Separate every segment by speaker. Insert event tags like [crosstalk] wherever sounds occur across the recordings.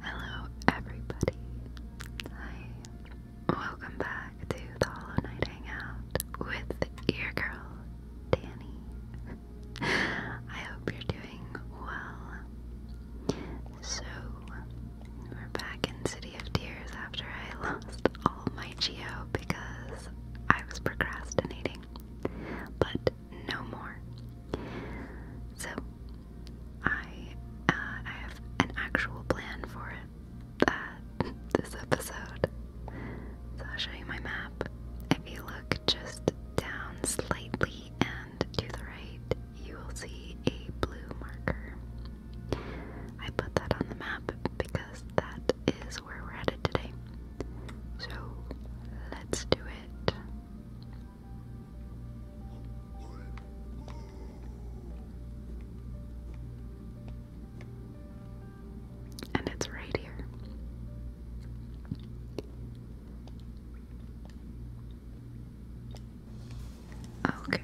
Speaker 1: Hello, everybody. Hi. Welcome back to the Hollow Knight Hangout with your girl, Danny. I hope you're doing well. So, we're back in City of Tears after I [laughs] lost all my geo because I was procrastinating. But no more. So I uh, I have an actual plan for uh, [laughs] this episode. So I'll show you my map. If you look just down slightly and to the right, you will see a blue marker. I put that on the map because that is where we're headed today. So let's do it. And it's right here. Okay.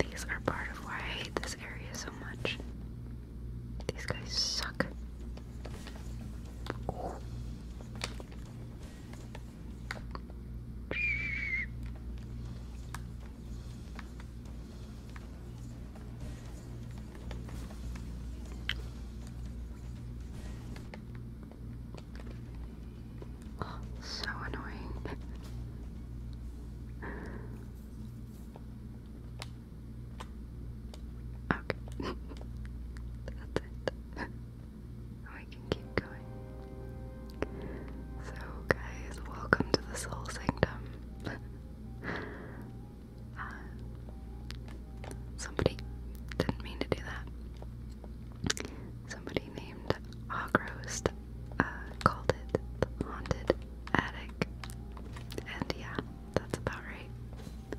Speaker 1: These are part of why I hate this area so much. These guys suck. so annoying. Okay. [laughs] That's it. we can keep going. So, guys, welcome to the Soul Sanctum. [laughs] Uh, somebody didn't mean to do that. Somebody named Ogrost uh, called it the Haunted Attic. And yeah, that's about right. There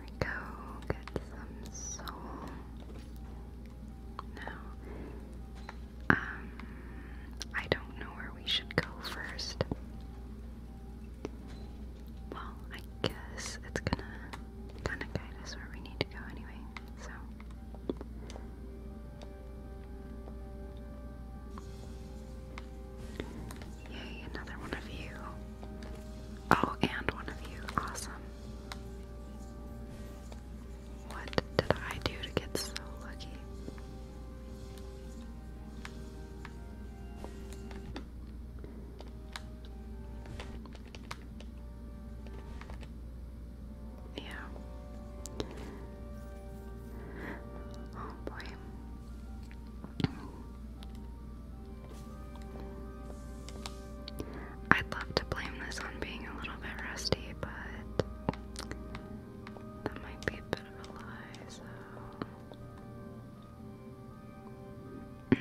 Speaker 1: we go, get some soul. Now, um, I don't know where we should go first. Well, I guess it's gonna kinda guide us where we need to go anyway, so. Yay, another one of you. Oh, and one of you. Awesome. What did I do to get so lucky? Yeah. Oh boy. I'd love to blame this on being a little bit rusty, but that might be a bit of a lie, so. Mm.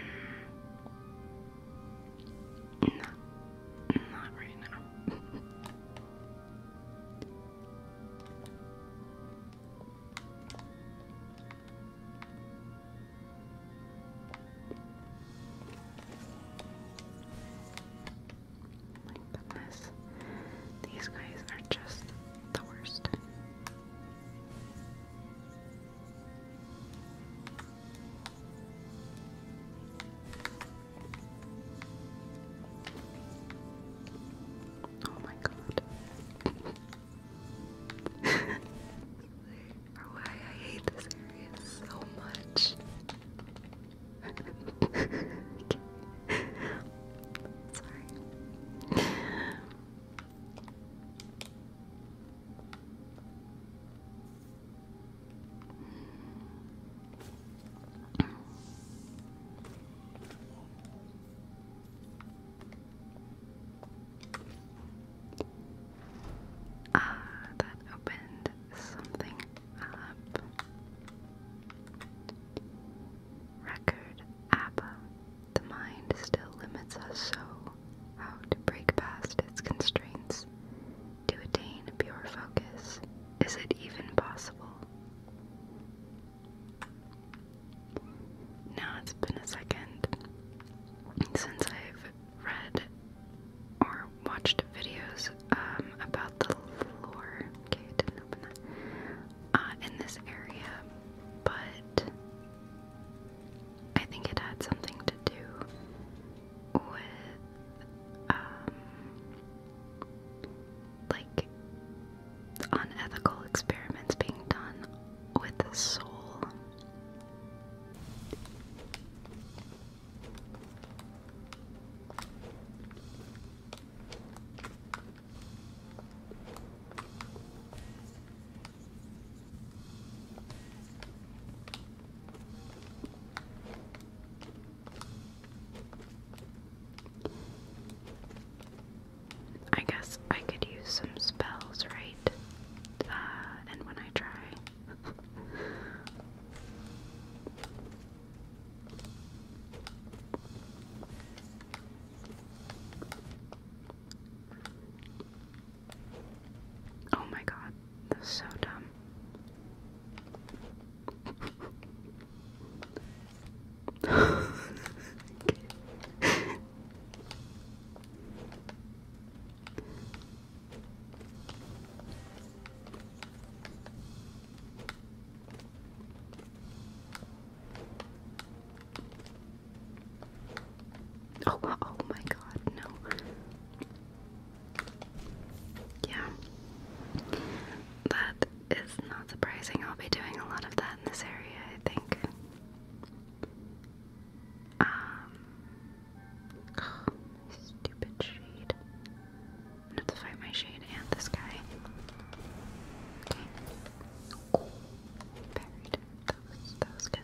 Speaker 1: No, not right now. My goodness, these guys are just the worst. Oh my god. [laughs] or why I hate this area so much. [laughs] Sorry. Ah, that opened something up. Record Abba. The mind still limits us so. How to break past its constraints to attain pure focus, is it even possible? Now it's been a second since I've read or watched videos um, about the lore. Okay, didn't open that. Uh, in this area, but I think it had something to do with um, like unethical experiments being done with the soul. I guess I could use some spells, right? Uh, and when I try. [laughs] oh my god, that's so dumb. [laughs] Oh, oh my God, no. Yeah. That is not surprising. I'll be doing a lot of that in this area, I think. Um [sighs] stupid shade. I my shade and this guy. Okay. Oh, buried. good.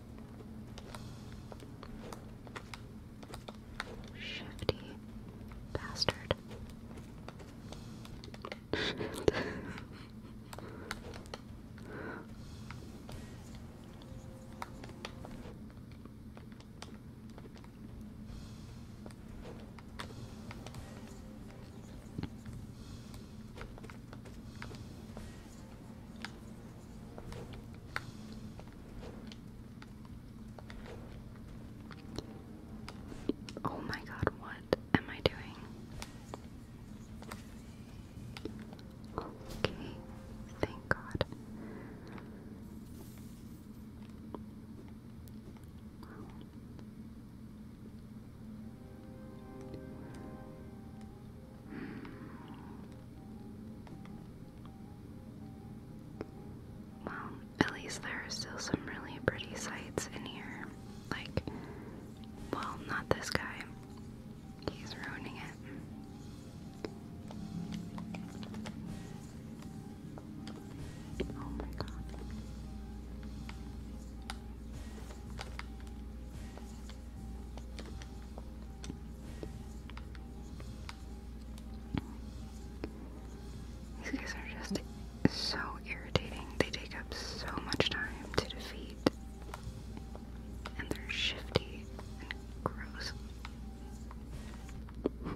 Speaker 1: Shifty bastard. Oh my god, what am I doing? Okay, thank god. Well, at least there are still some really pretty sights in here. Like, well, not this guy. He's ruining it. Oh my god. These guys are just so irritating. They take up so much time to defeat. And they're shifty and gross. [laughs]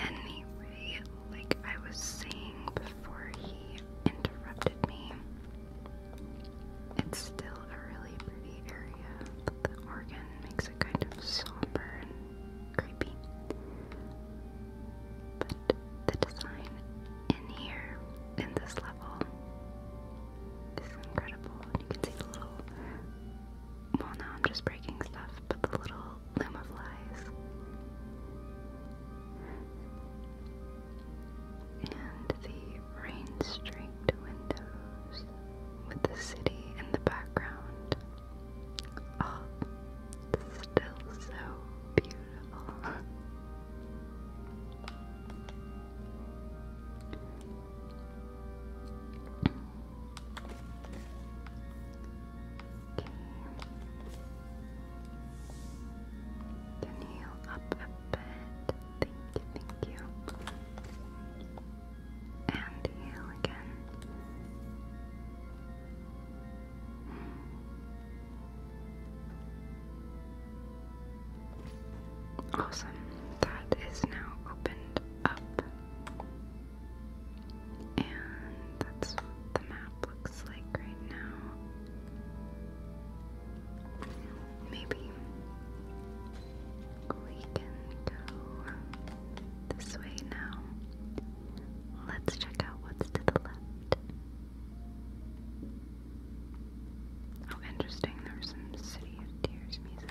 Speaker 1: anyway, like I was saying before he interrupted me, it's still a really pretty area, the organ makes it kind of somber and creepy. But the design in here, in this level, is incredible. You can see the little, well, now I'm just breaking stuff, but the little loom And the rain streaked windows with the city in the background. Oh, still so beautiful. Can you up a bit? Thank you, thank you. And heal again. Awesome. That is now opened up. And that's what the map looks like right now. Maybe we can go this way now. Let's check out what's to the left. Oh, interesting. There's some City of Tears music.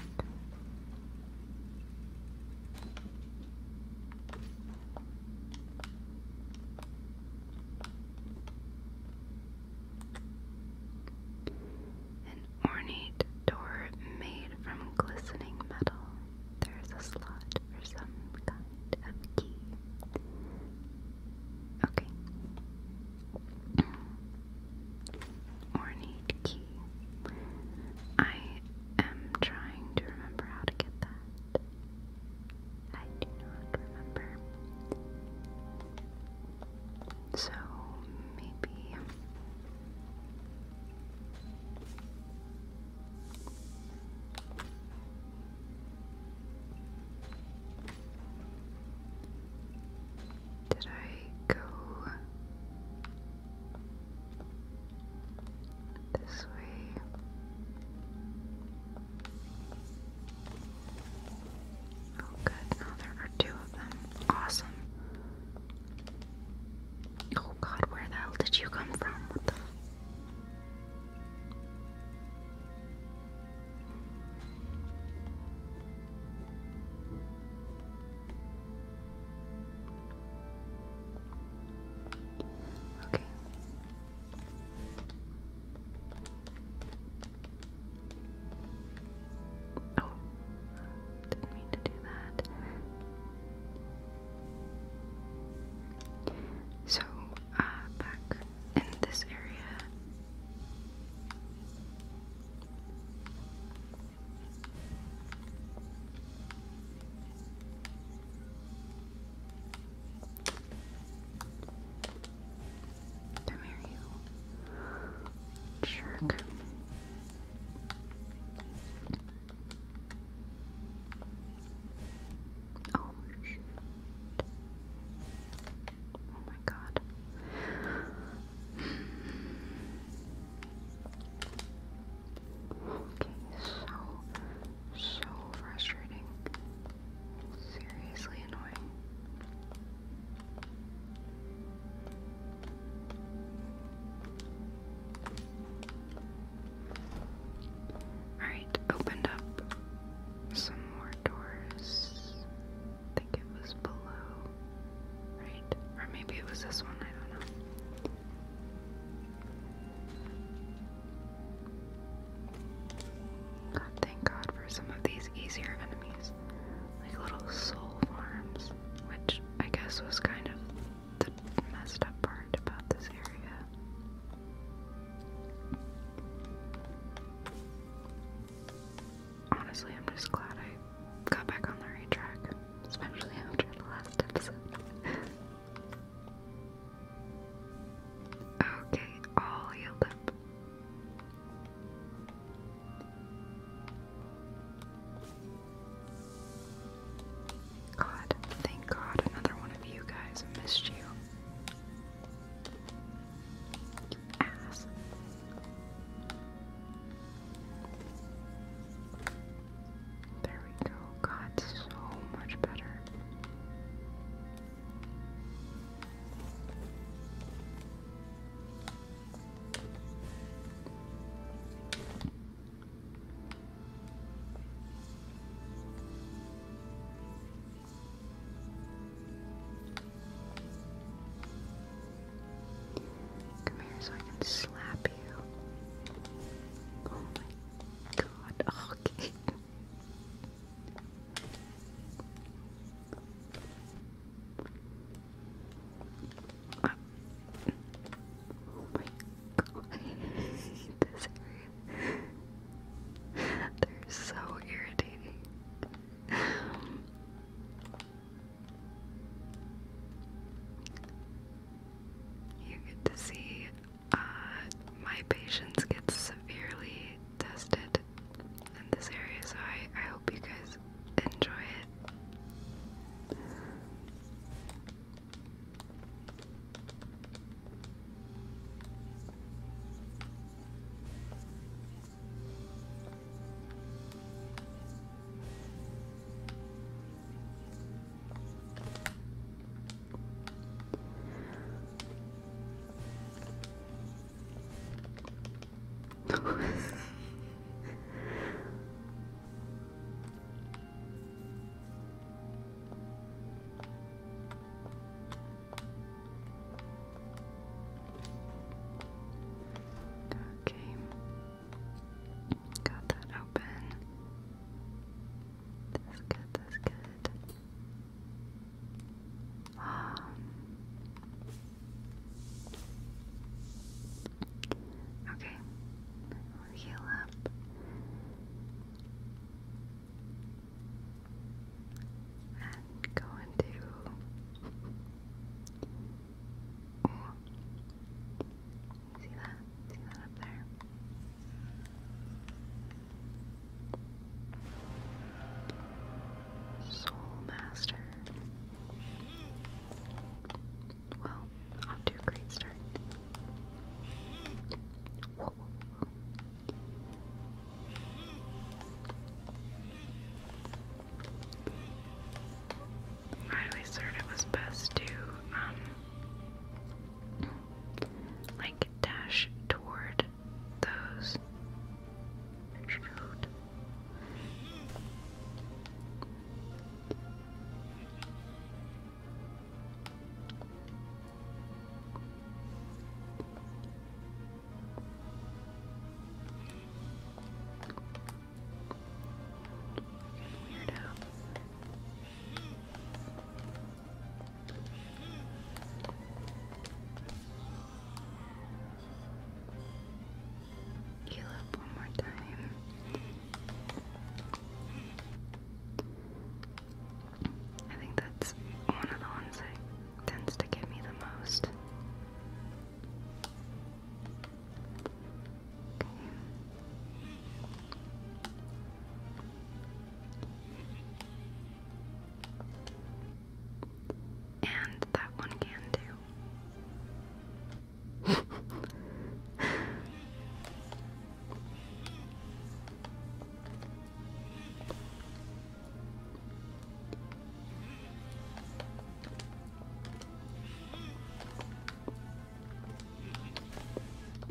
Speaker 1: An ornate door made from glistening metal. There is a slot for some kind of key. Okay. ornate key. I am trying to remember how to get that. I do not remember. So maybe did I go this way. Oh, good. Now there are two of them. Awesome. Oh, God, where the hell did you come from? What the? Okay. Oh, didn't mean to do that. So, uh, back in this area. Come here, you jerk. Oh, oh, my God. Okay, so, so frustrating. Seriously annoying. Alright, opened up some more doors. I think it was below, right? Or maybe it was this one, I don't know. God, thank God for some of these easier enemies, like little soul farms, which I guess was kind of the messed up part about this area. Honestly, I'm just glad I got back on the right track, especially after the last episode. [laughs] Okay, all healed up. God, thank God, another one of you guys missed you. You ass. There we go. God, so much better. Come here so I can slap you. Oh god. Okay. Oh my god. [laughs] this They're so irritating. [laughs] you get to see uh, my patience gets severely tested in this area, so I, I hope you guys enjoy it okay, got that open. That's good, that's good. Um, okay, heal up. And go into See that? See that up there? Soul Master. Well, off to a great start. I always heard it was best to, um, like dash toward those. Shoot. Weirdo. You look one more time. I think that's one of the ones that tends to give me the most. Okay. And that one can do.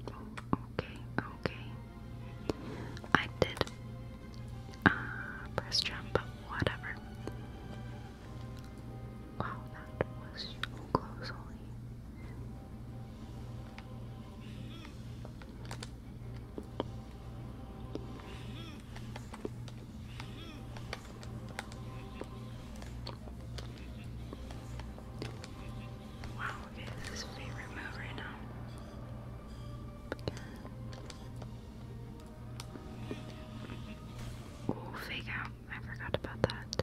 Speaker 1: Okay, okay. I did uh, press jump, but whatever. Wow, that was so close, Wow, okay, this is his favorite move right now. Ooh, fake out. I forgot about that.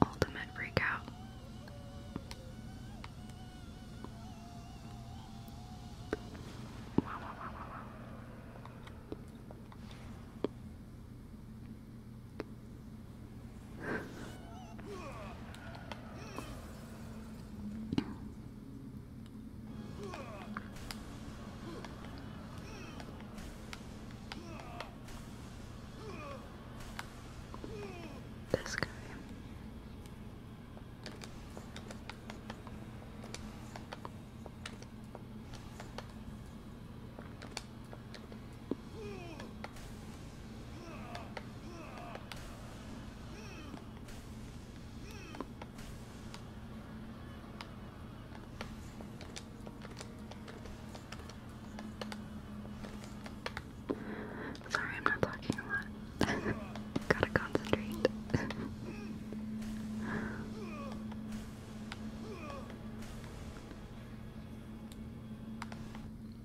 Speaker 1: Ultimate breakout. This guy. Sorry, I'm not talking a lot. [laughs] Gotta concentrate. [laughs]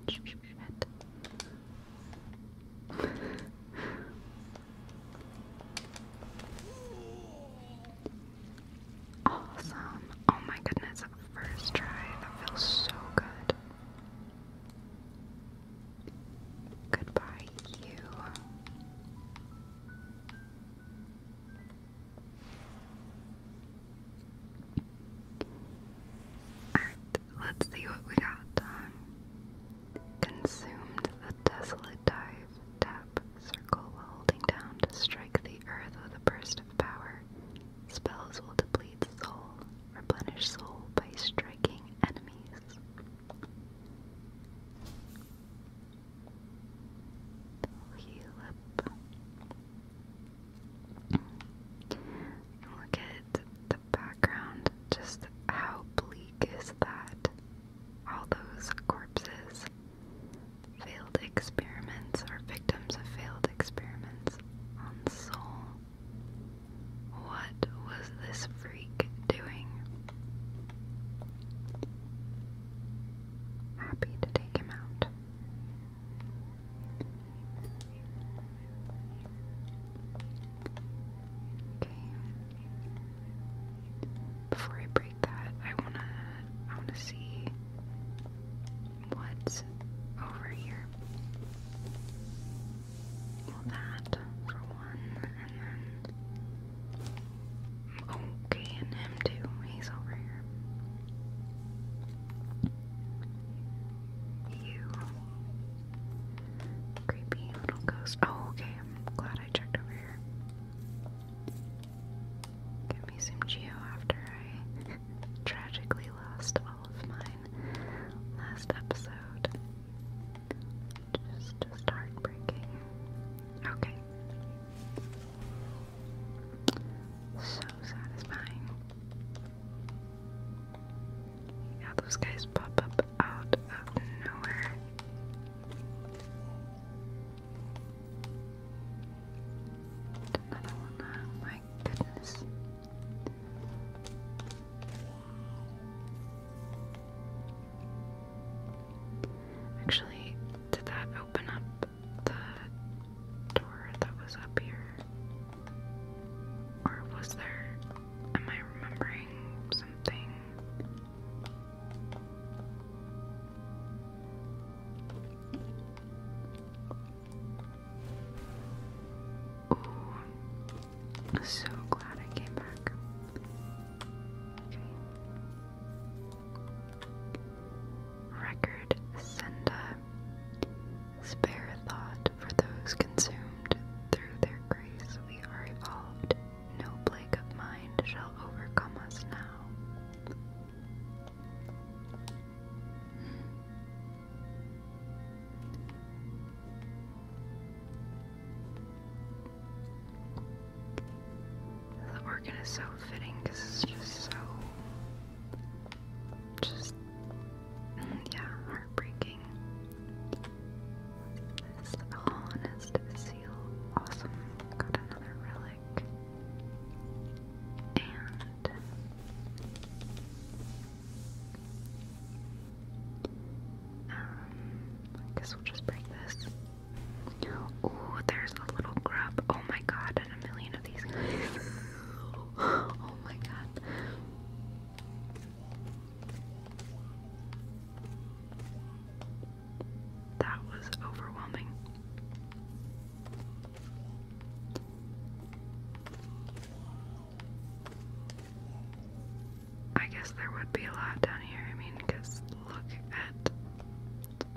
Speaker 1: Shit awesome. Oh my goodness, first try. That feels so good. Goodbye, you. Alright, let's see what we got. Um, consumed the desolate dive, tap, circle holding down to strike the earth with a burst of power. Spells will deplete soul, replenish soul by striking enemies. Heal up. Look at the background, just how bleak is that? All those corpses, failed experiments, or victims of failed experiments on Seoul. What was this freak doing? Happy to take him out. Okay. Before I break that, I wanna I wanna see what's over here. Well that for one and then okay and him too. He's over here. You Creepy little ghost. Oh, okay. I'm glad I checked over here. Give me some geo after I [laughs] tragically lost all of mine last episode. Just, just heartbreaking. Okay. So satisfying. Yeah, those guys pop up out of nowhere. Another one, oh my goodness. Actually, did that open up the door that was up here? Or was there. Am I remembering something? Ooh, so glad I came back. Okay. Record sender. Spare a thought for those consumed through their grace we are evolved. No plague of mind shall overcome us now. The organ is so fitting because it's just so. just yeah, heartbreaking. This honest seal, awesome. Got another relic. And um I guess we'll just break this. Oh, there's a little grub. Oh my god, and a million of these guys. [laughs] oh my god. That was overwhelming. I guess there would be a lot down here. I mean, because look at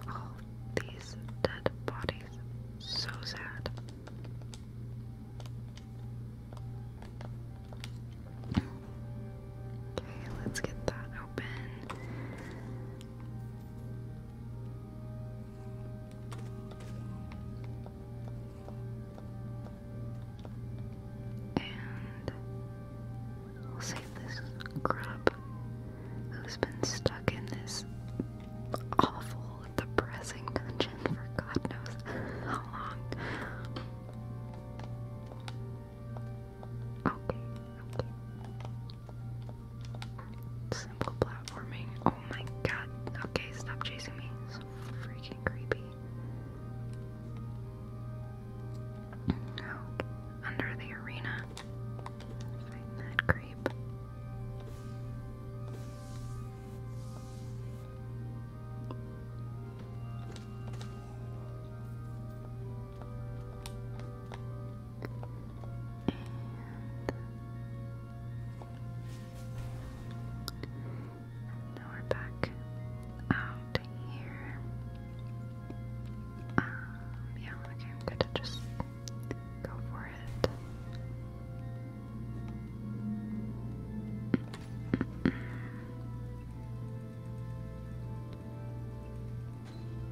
Speaker 1: all these dead bodies. So sad. Okay, let's get that open. And we'll save this grub who's been stuck in this awful the pressing dungeon for God knows how long. Okay, Simple platforming. Oh my god. Okay, stop chasing me. It's freaking creepy. Okay. Under the arena. Find that creep. And now we're back out here. Um, yeah, okay, I'm gonna just Go for it.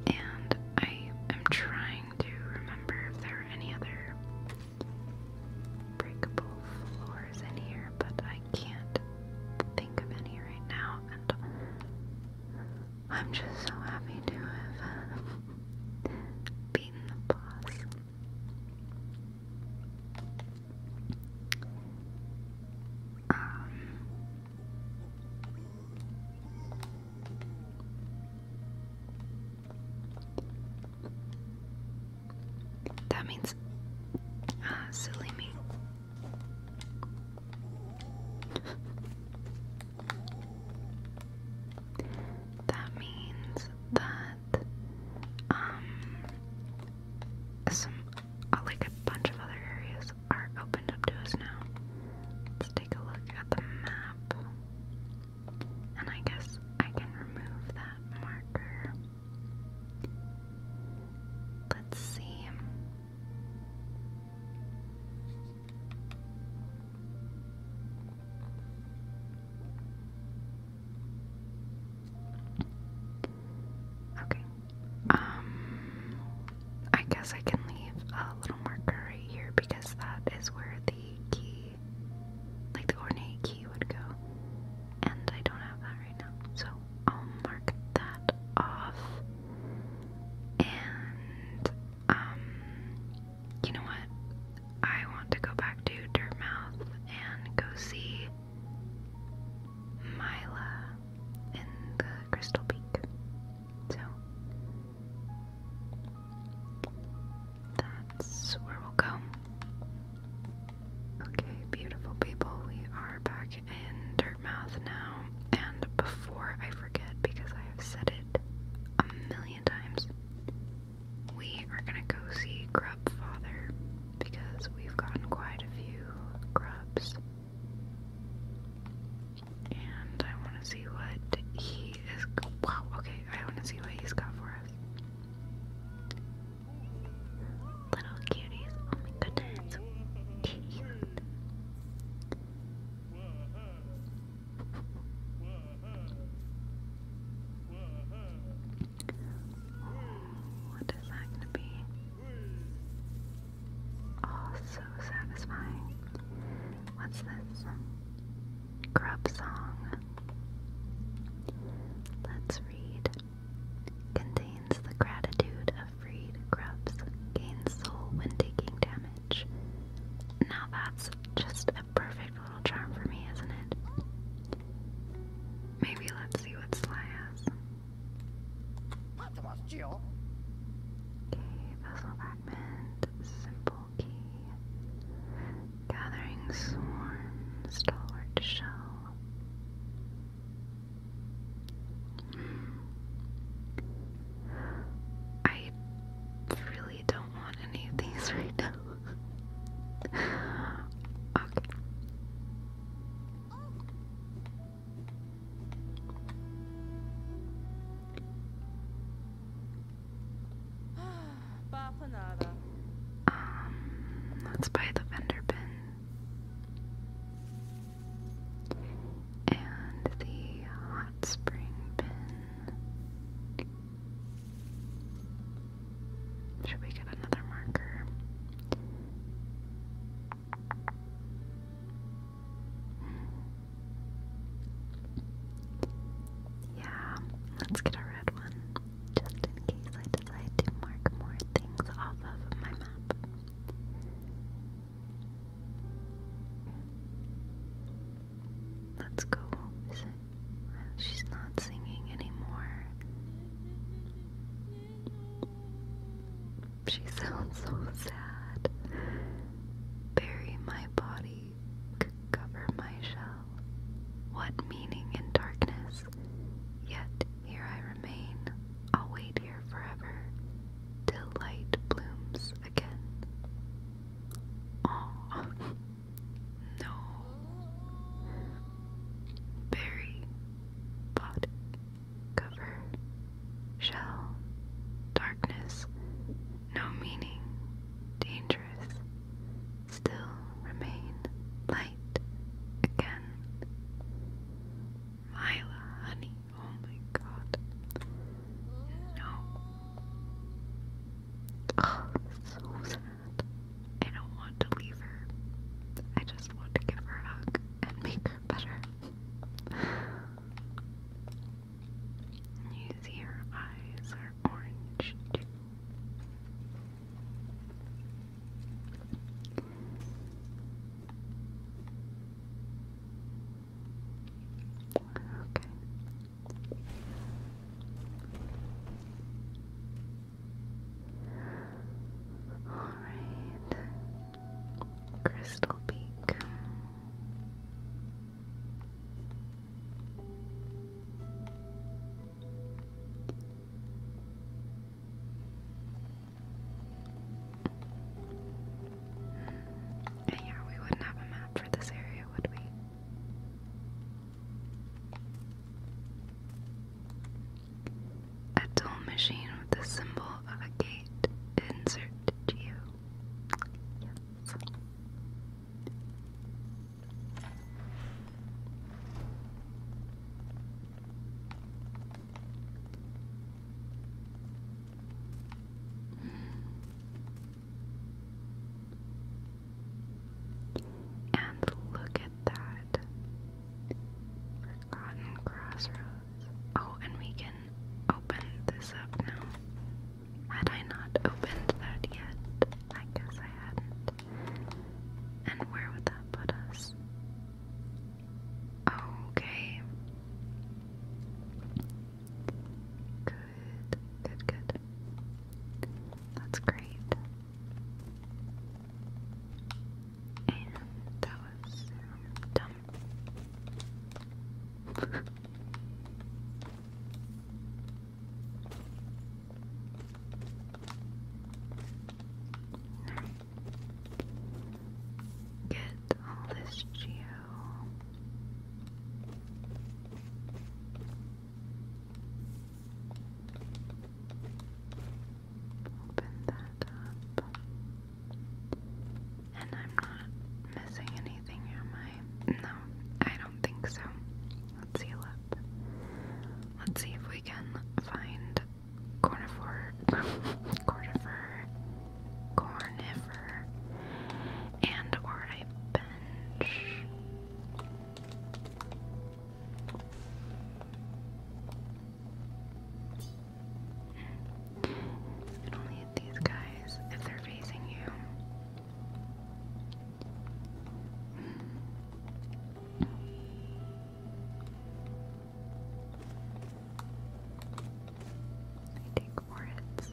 Speaker 1: And I am trying to remember if there are any other breakable floors in here, but I can't think of any right now. And I'm just so happy to have [laughs] beaten the boss. Um, that means ah, silly me. That means that um some uh, like a bunch of other areas are opened up to us now. Let's take a look at the map. And I guess I can remove that marker. Let's see. Okay. Um I guess I can leave a little marker right here because that is where the key like the ornate key would go. And I don't have that right now. So I'll mark that off. And um you know what? I want to go back to Dirtmouth and go see Mila in the Crystal Peak. So that's where we'll go. Okay, beautiful people, we are back in Dirtmouth now. And before I forget, because I have said it a million times, we are gonna go see Grubfather because we've gotten quite a few grubs. And I wanna see what he is wow, okay, I wanna see what he's got for us. Little cuties, oh my goodness. What is that going to be? Oh, so satisfying. What's this? Grub song. Let's read. Contains the gratitude of freed grubs. Gains soul when taking damage. Now that's just the perfect little charm for me, isn't it? Maybe let's see what Sly has. Okay, Vessel Fragment, Simple Key, Gathering Swarm, Stalwart Shell. Hmm. I really I don't want any of these right now. [laughs] okay. [sighs] Um, let's buy the vendor bin and the hot spring bin. Should we get another marker? Yeah, let's get a red one just in case I decide to mark more things off of my map. Let's go visit. She's not singing anymore. She sounds so sad. Bury my body, cover my shell. What meaning in darkness? Yet here I remain. I'll wait here forever till light blooms again. Aww. [laughs] No. Berry pot cover shell darkness no meaning dangerous still remain light again Mila honey oh my god no Oh, so sad. I don't want to leave her. I just want to give her a hug and make her better. You her eyes are orange too. Okay. Alright. Crystal Peak. yeah, we wouldn't have a map for this area, would we? A dull machine with the symbol of a gate inserted to you. Yes. And look at that. Forgotten Crossroads. Oh, and we can open this up now. Had I not opened that yet? I guess I hadn't. And where would that put us? Okay. Good, good, good. That's great. And that was dumb. [laughs] Get all this geo Open that up. And I'm not missing anything, am I? No, I don't think so. Let's see up. Let's see if we can find cornifer, [laughs] cornifer, cornifer, and or orange. And only hit these guys if they're facing you. I take foreheads.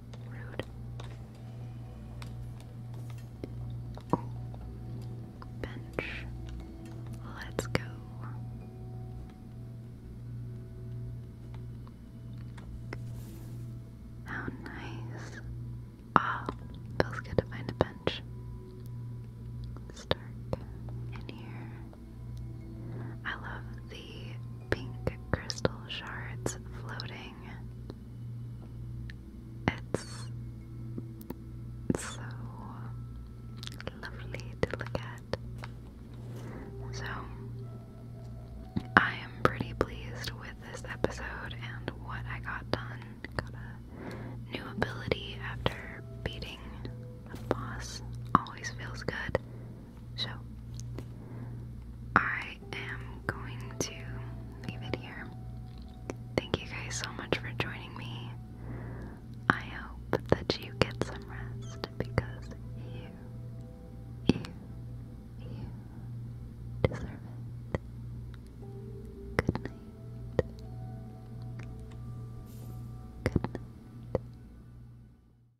Speaker 1: Rude. Bench. Let's go. How nice. Ah, feels good to find a bench. Start in here. I love the pink crystal shards floating. It's so lovely to look at. So, I am pretty pleased with this episode and what I got done. Got a new ability after beating a boss. Always feels good. So, I am going to leave it here. Thank you guys so much for joining me. I hope that you get some rest because you, you, you deserve it. Good night. Good night.